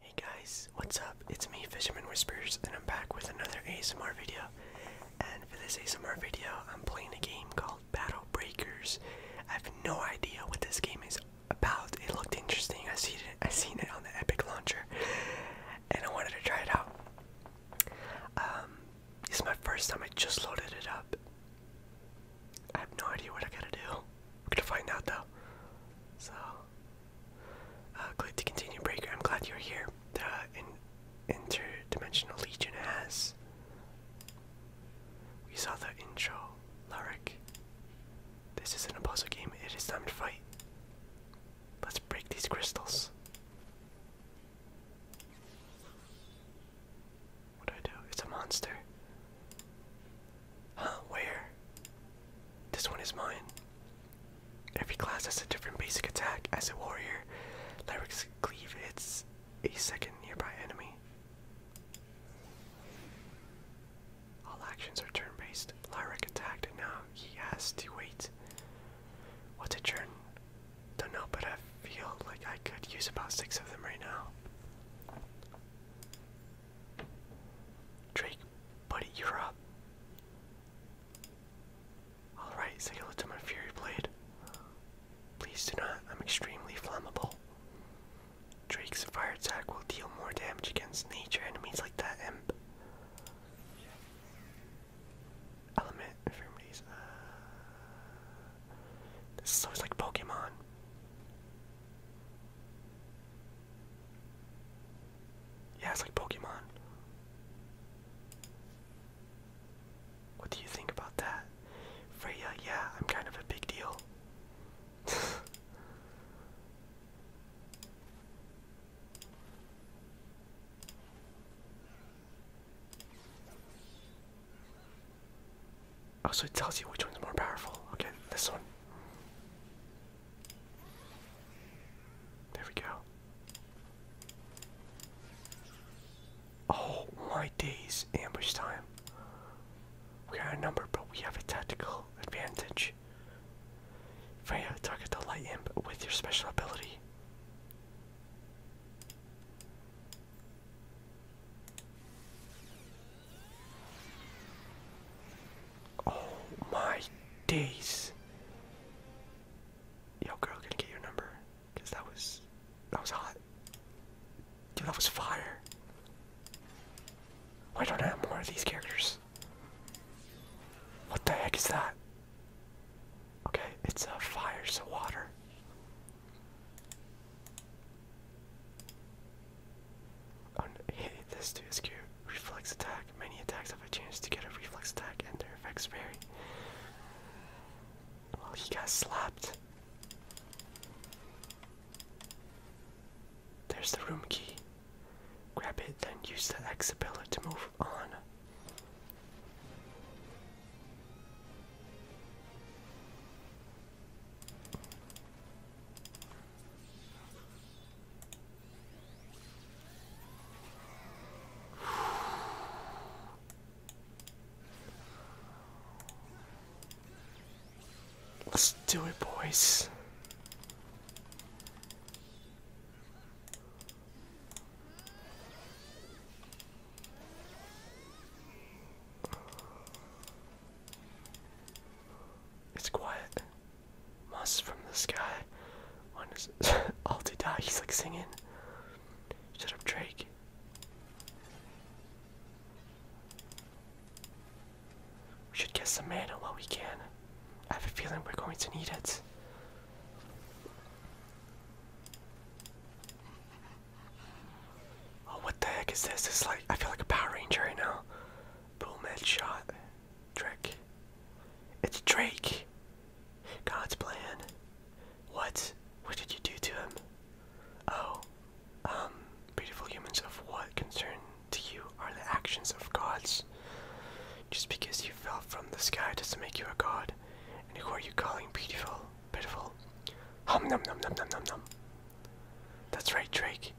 Hey guys, what's up? It's me, Fisherman Whispers, and I'm back with another ASMR video. And for this ASMR video, I'm playing a game called Battle Breakers. I have no idea what this game is about. It looked interesting. I seen it. I seen it on the Epic launcher, and I wanted to try it out. Um, it's my first time. I just loaded it up. I have no idea what I gotta do. We're gonna find out though. So, uh, click to continue, Breaker. I'm glad you're here. The in interdimensional legion has. We saw the intro lyric. This isn't a puzzle game, it is time to fight. Let's break these crystals. What do I do? It's a monster. Huh, where? This one is mine. Every class has a different basic attack. As a warrior, Lyric's Cleave its a second nearby enemy. All actions are turn-based. Lyric attacked, and now he has to wait. What's a turn? Don't know, but I feel like I could use about six of them right now. Drake, buddy, you're up. Alright, say hello to my Fury Blade. Please do not, I'm extremely flammable. Drake's fire attack will deal more damage against nature enemies like that imp. Element infirmities. Uh, this looks like Pokemon. Yeah, it's like Pokemon. What do you think about that? Freya, yeah, I'm kind of a big deal. oh, so it tells you which one's more powerful. Okay, this one. There we go. Oh my days, ambush time. We are number, but we have a tactical advantage range. Freya, target the light imp with your special ability. Oh my days. Yo girl, going get your number. Cause that was that was hot. Dude, that was fire. Why don't I have more of these characters? What the heck is that? Okay, it's a fire, so water. Oh, this too is Reflex attack. Many attacks have a chance to get a reflex attack, and their effects vary. Well, he got slapped. There's the room key. Grab it, then use the X ability to move on. Let's do it, boys. It's quiet. Must from the sky. When is it? He's like singing. Shut up, Drake. We should get some mana while we can. I have a feeling we're going to need it. Oh, what the heck is this? It's like I feel like a Power Ranger right now. Boom headshot. Drake. It's Drake. God's plan. What? What did you do to him? Oh. Um, beautiful humans of what concern to you are the actions of gods. Just because you fell from the sky doesn't make you a god. And who are you calling beautiful? Pitiful. Hum num num num num num num. That's right, Drake.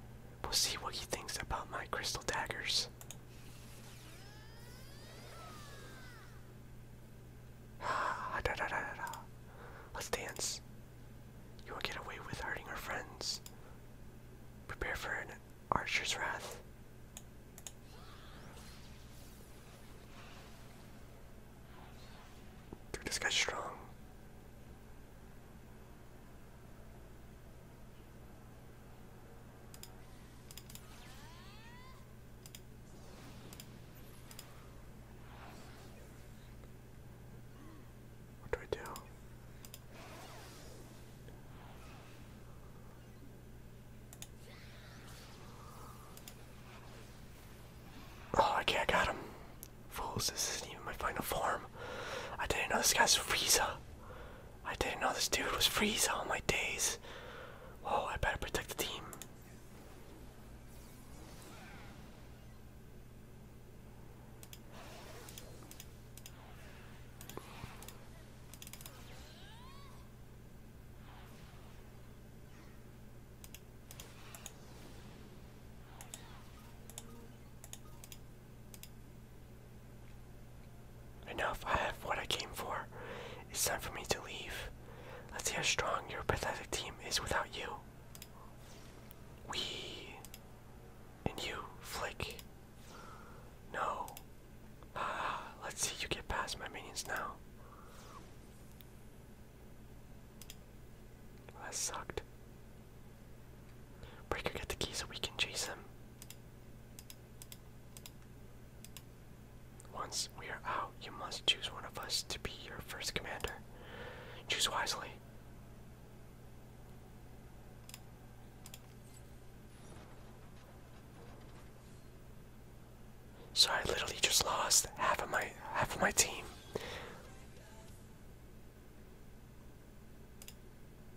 We'll see what he thinks about my crystal daggers. Ah, da da da da da. Let's dance. You will get away with hurting our friends. Prepare for an Archer's Wrath. Dude, this guy's strong. What do I do? Oh, okay, I got him. Fools, this isn't even my final form. I didn't know this guy's Frieza. I didn't know this dude was Frieza all my days. Whoa, I better protect the team. Enough, I have what I came for. It's time for me to leave. Let's see how strong your pathetic team is without you. We and you, flick. No. Ah, let's see you get past my minions now. Well, that sucked. Breaker, get the key so we can chase him. Once we are out, you must choose one of us to be your first commander. Choose wisely. So I literally just lost half of my half of my team.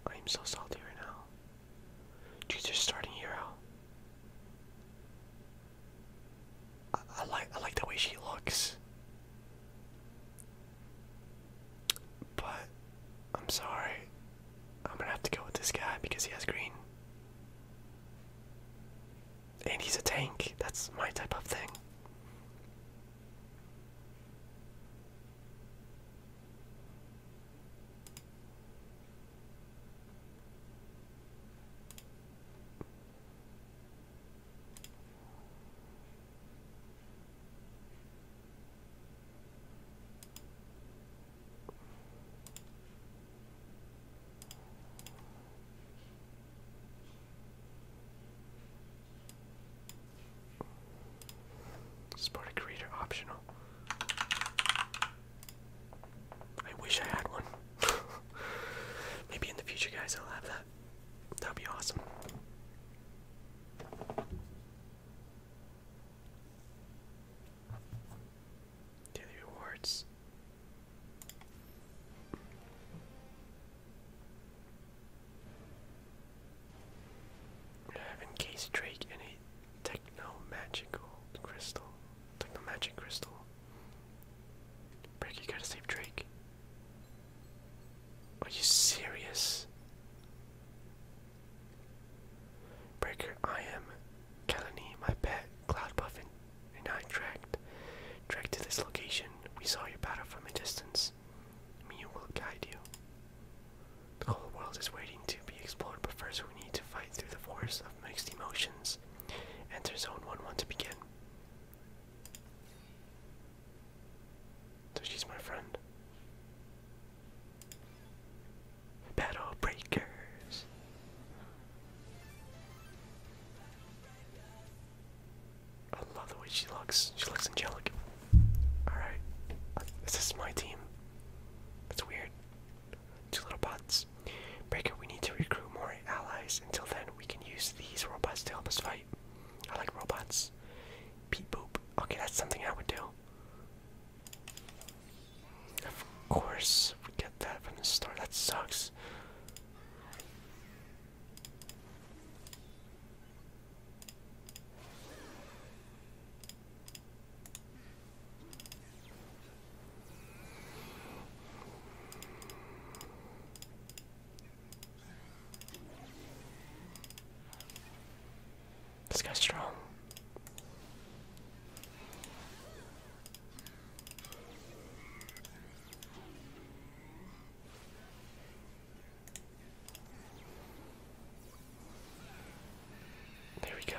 I'm so salty right now. Jesus starting hero. I like I like the way she looks. But I'm sorry. I'm gonna have to go with this guy because he has green. And he's a tank. That's my type of thing. Sparta creator optional. I wish I had one. Maybe in the future, guys, I'll have that. That'd be awesome. Daily rewards. In case Drake any techno magical crystal, techno magic crystal. Break, you gotta save Drake. Are you serious? Breaker, I am Kalani, my pet, cloud and, and I tracked, tracked to this location. We saw your battle from a distance. Mew will guide you. The whole world is waiting to be explored, but first we need to fight through the forest of mixed emotions. Enter Zone 1-1 to begin. So she's my friend. Battle Breakers. I love the way she looks. She looks angelic. Alright. This is my team. That's weird. Two little bots. Breaker, we need to recruit more allies. Until then, we can use these robots to help us fight. I like robots. Beep boop. Okay, that's something I would do. Of course, we get that from the store. That sucks. This guy's strong. There we go.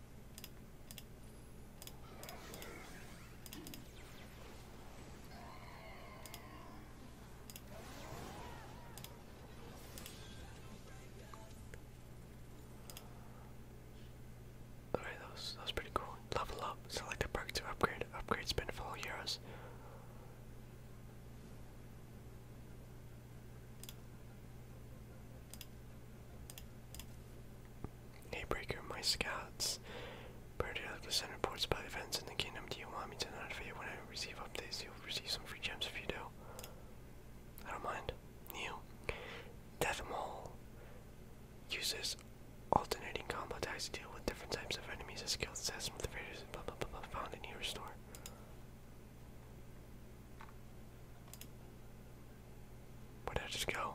Alright, that was, pretty cool. Level up, select a perk to upgrade. Upgrade Spend four euros. Daybreaker, my scouts. Priority left send reports about events in the kingdom. Do you want me to notify you when I receive updates? You'll receive some free gems if you do. I don't mind. New. Death uses alternating combo attacks to deal with different types of enemies as skilled assassin with raiders blah blah blah blah found in your store. Where did I just go?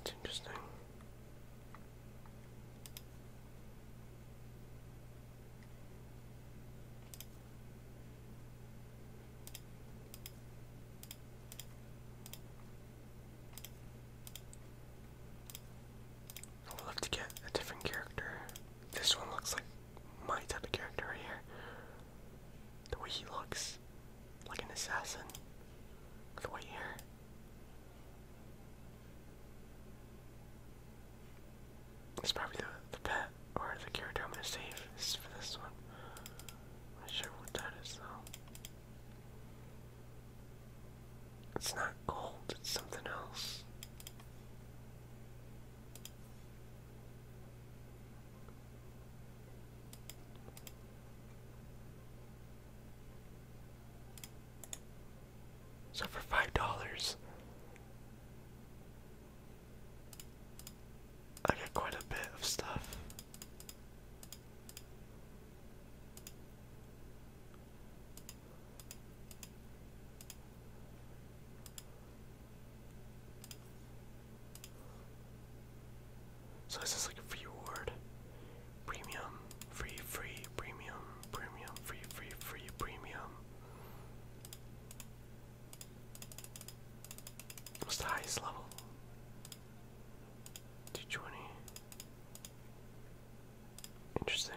It's interesting. I would to get a different character. This one looks like my type of character here. The way he looks, like an assassin. The white hair. It's probably the, the pet or the character I'm gonna save this for this one. not sure what that is though. It's not gold, it's something else. So for five dollars, I get quite a bit of stuff. So this is like a free reward? Premium, free, free, premium, premium, free, free, free, premium. What's the highest level? 220. Interesting.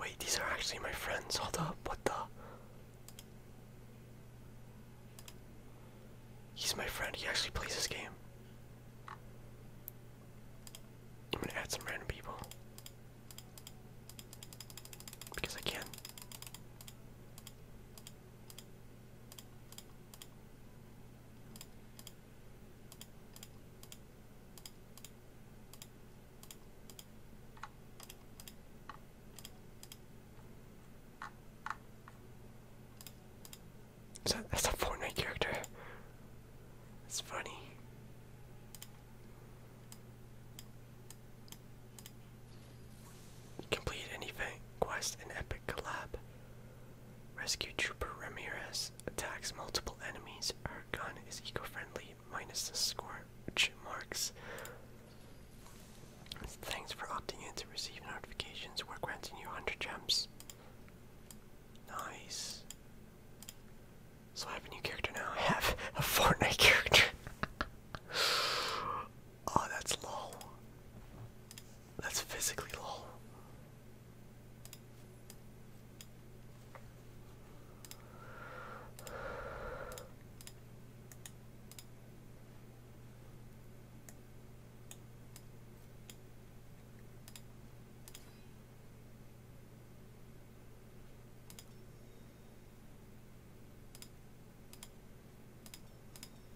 Wait, these are actually my friends. Hold up, what the? He's my friend, he actually plays this game. I'm gonna add some random people. Because I can that's a Fortnite character. It's funny. Complete any event quest and Epic Collab. Rescue Trooper Ramirez attacks multiple enemies. Our gun is eco-friendly, minus the scorch marks. Thanks for opting in to receive notifications. We're granting you 100 gems. Nice. So I have a new character now. I have a Fortnite character. Oh, that's low. That's physically low.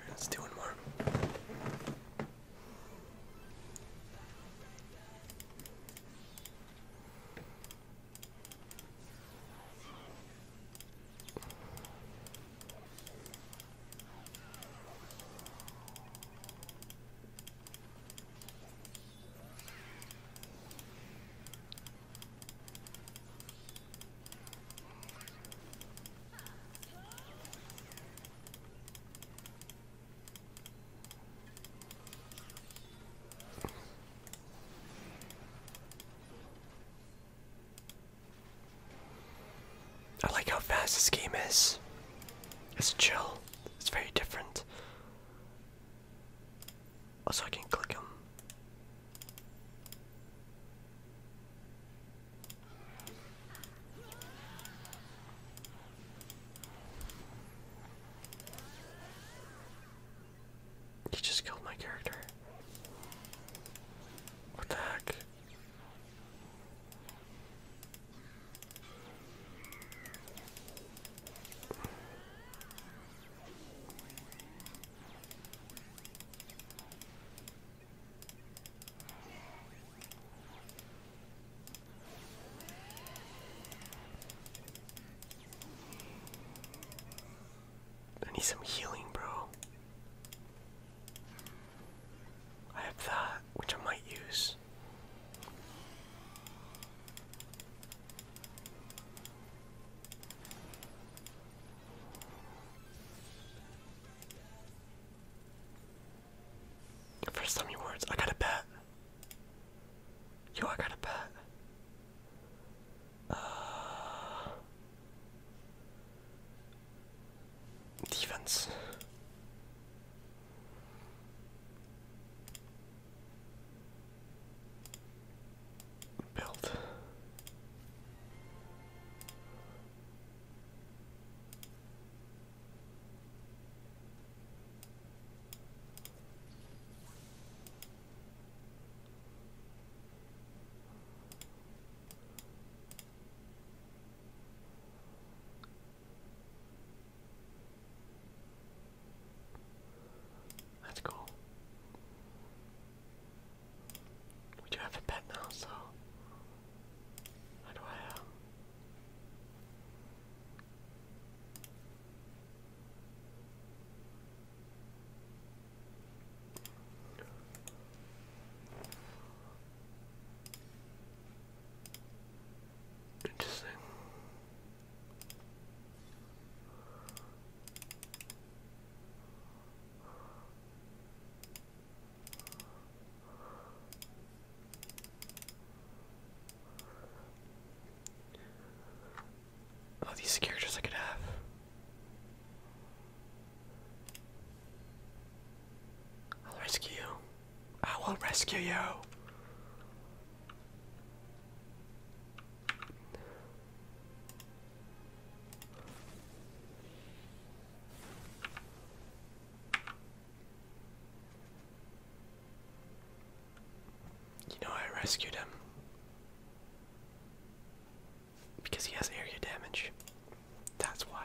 Right, let's do one more. I like how fast this game is. It's chill. It's very different. Also, I can click them. He just killed my character. What the heck? I need some healing, bro. I have that, which I might use. For so many words, I got a bet. Yo, I got a bet. Uh, defense. Build. That's cool. We do have a pet now, so how do I? Um, Interesting. Oh, these characters I could have. I'll rescue you. I will rescue you. You know, I rescued him because he has area damage. That's why.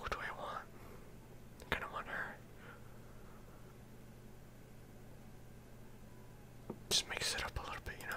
Who do I want? I kinda want her. Just mix it up a little bit, you know?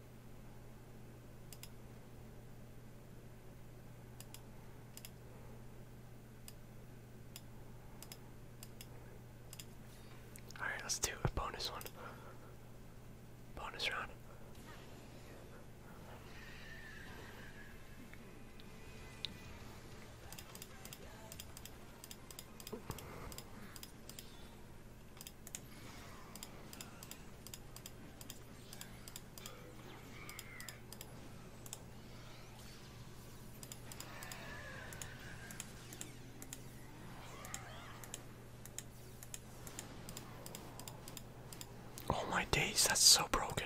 All right, let's do a bonus one. Bonus round. Oh my days, that's so broken.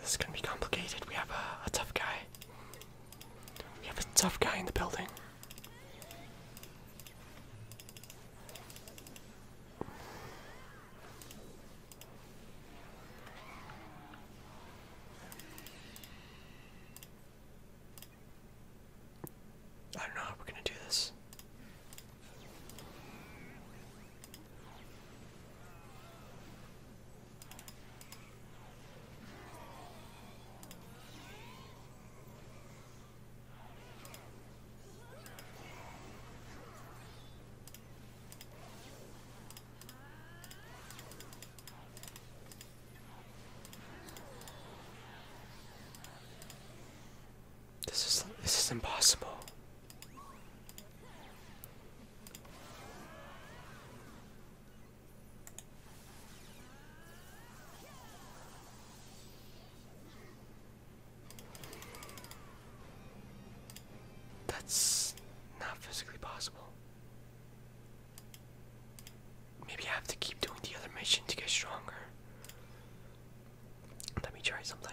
this is going to be complicated. We have a tough guy. We have a tough guy in the building. I don't know how we're gonna do this. This is this is impossible. That's not physically possible. Maybe I have to keep doing the other mission to get stronger. Let me try something.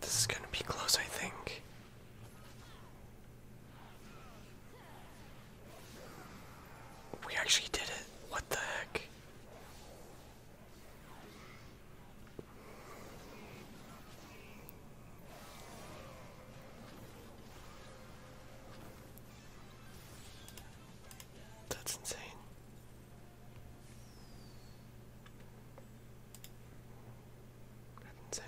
This is going to be close, I think. We actually did it. What the heck? That's insane. That's insane.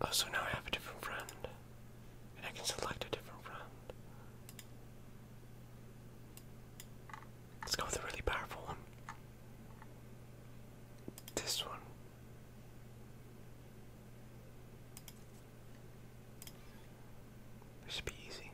Oh, so now I have a different friend. And I can select a different friend. Let's go with a really powerful one. This one. This should be easy.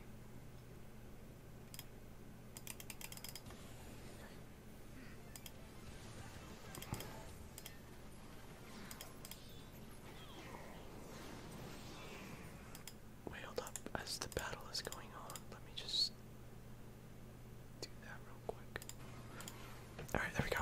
Wailed up as the battle is going on. Let me just do that real quick. Alright, there we go.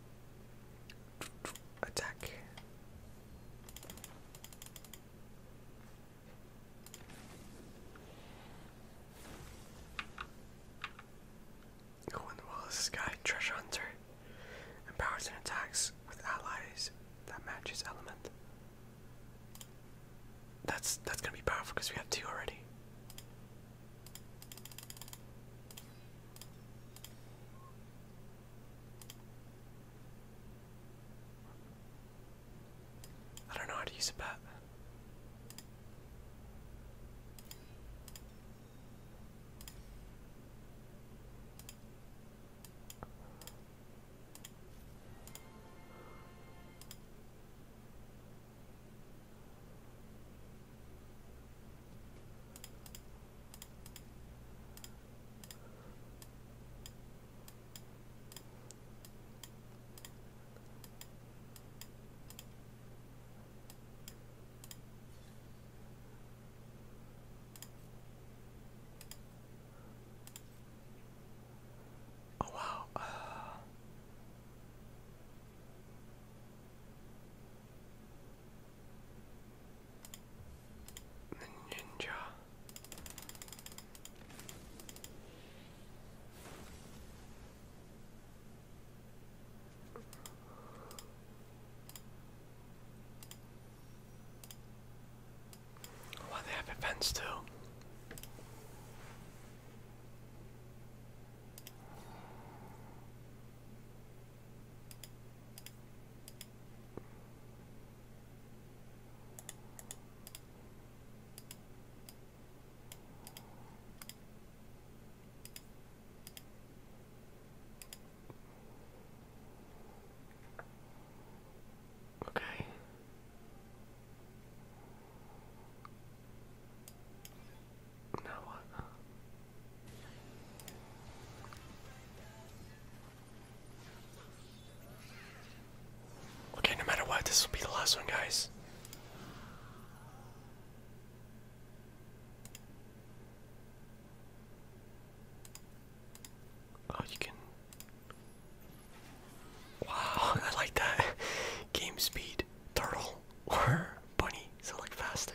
Attack. Who in the world this guy? Treasure Hunter. Empowers and attacks with allies that match his element. That's that's gonna be powerful because we have two already. I don't know how to use a bat. Oh wow. Uh... The ninja. Well, they have events too. Okay. Now what? Okay, no matter what, this will be the last one, guys. Oh, you can. Wow, I like that. Game speed, turtle, or bunny, so faster.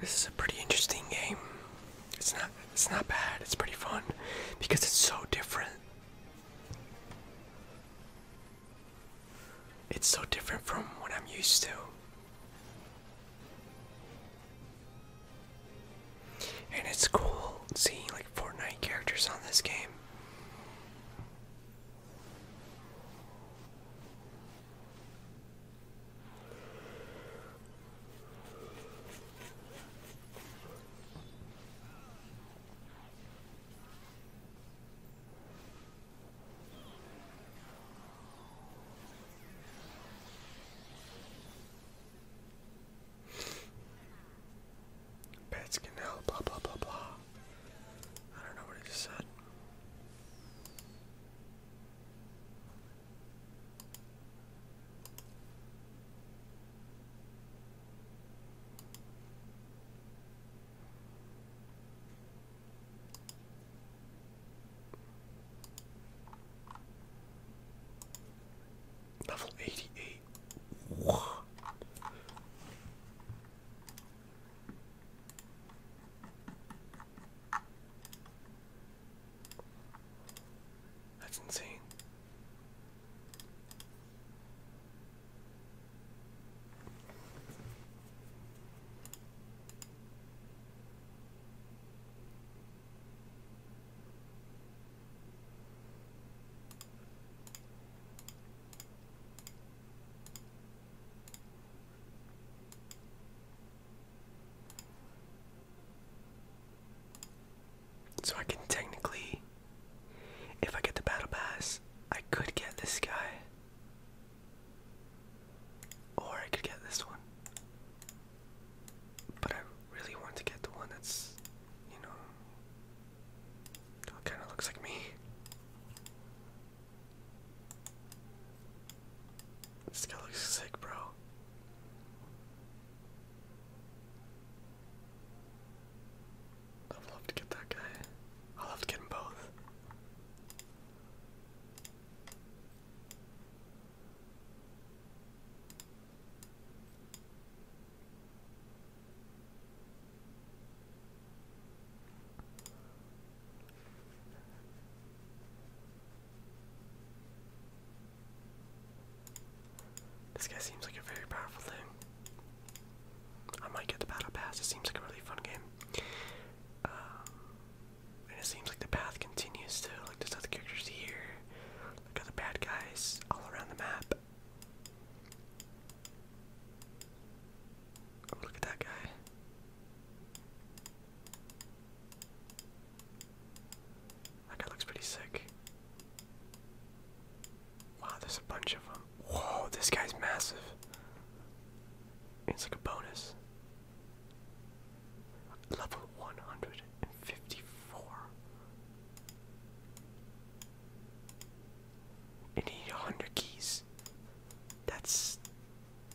This is a pretty interesting game. It's not it's not bad. It's pretty fun because it's so different. It's so different from what I'm used to. And it's cool seeing like Fortnite characters on this game. Pets can help, blah blah blah blah. I don't know what he just said. Level eighty eight. That's insane. So I can technically, if I get the battle pass, I could get this guy. Or I could get this one. But I really want to get the one that's, you know, kind of looks like me. This guy looks sick, bro. I'd love to get that guy. I'd love to get them both. This guy seems like a very powerful thing. I might get the battle pass. It seems like a really fun game. Um, and it seems like the path continues too. Like there's other characters here. Like other bad guys all around the map. Oh, look at that guy. That guy looks pretty sick. Wow, there's a bunch of them. Whoa, this guy's massive. It's like a bonus. Level 154. You need 100 keys. That's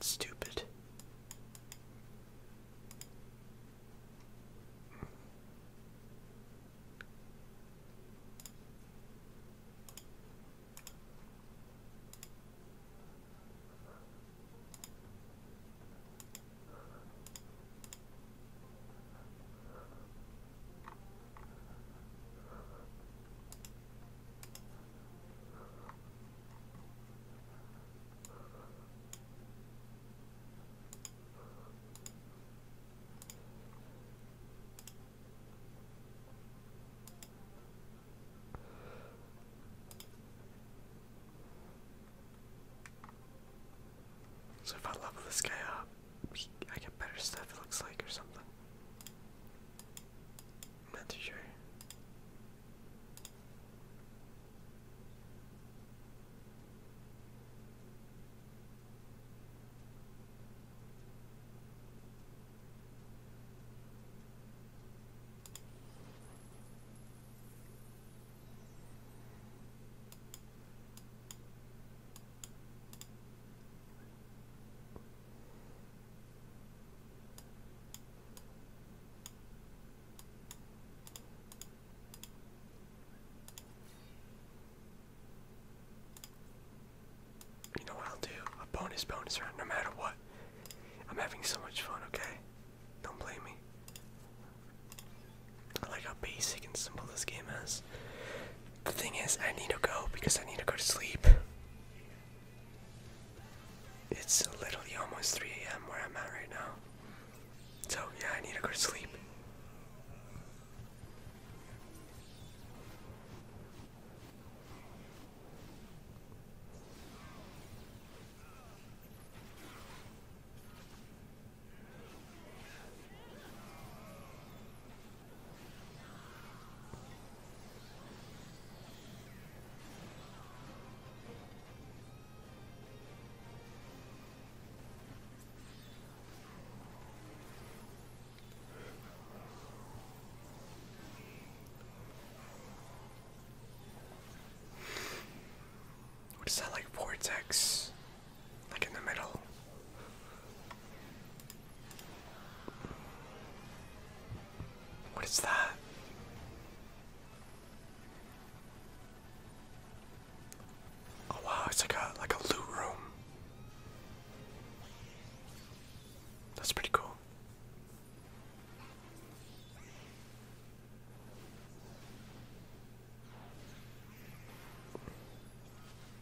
stupid. So if I level this guy up, I get better stuff it looks like or something. I'm not too sure. You know what I'll do? A bonus bonus round no matter what. I'm having so much fun, okay? Don't blame me. I like how basic and simple this game is. The thing is, I need to go because I need to go to sleep. It's literally almost 3 a.m. where I'm at right now. So, yeah, I need to go sleep. What is that like vortex? Like in the middle. What is that? Oh wow, it's like a like a loot room. That's pretty cool.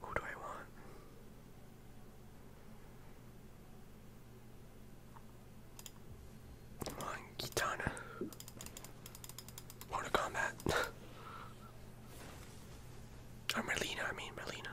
Who do I want? Come on, Kitana. or Merlina, I mean, Merlina.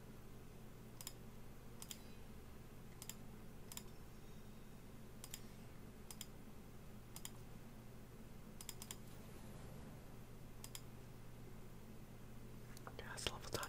Okay, that's level done.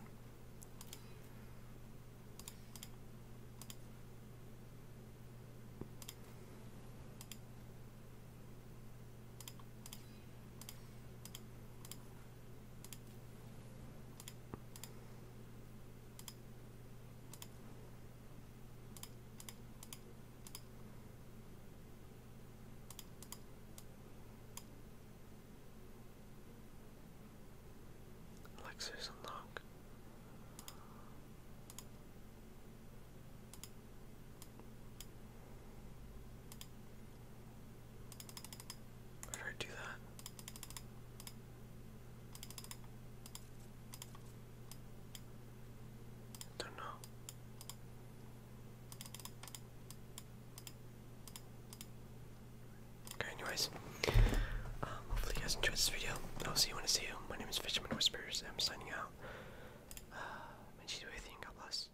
Alexis unlock. Where did I do that? don't know. Okay, anyways, um, hopefully you guys enjoyed this video. I'll see you when I see you. My name is Fisherman Whispers. I'm signing out. Uh, may Jesus be God bless.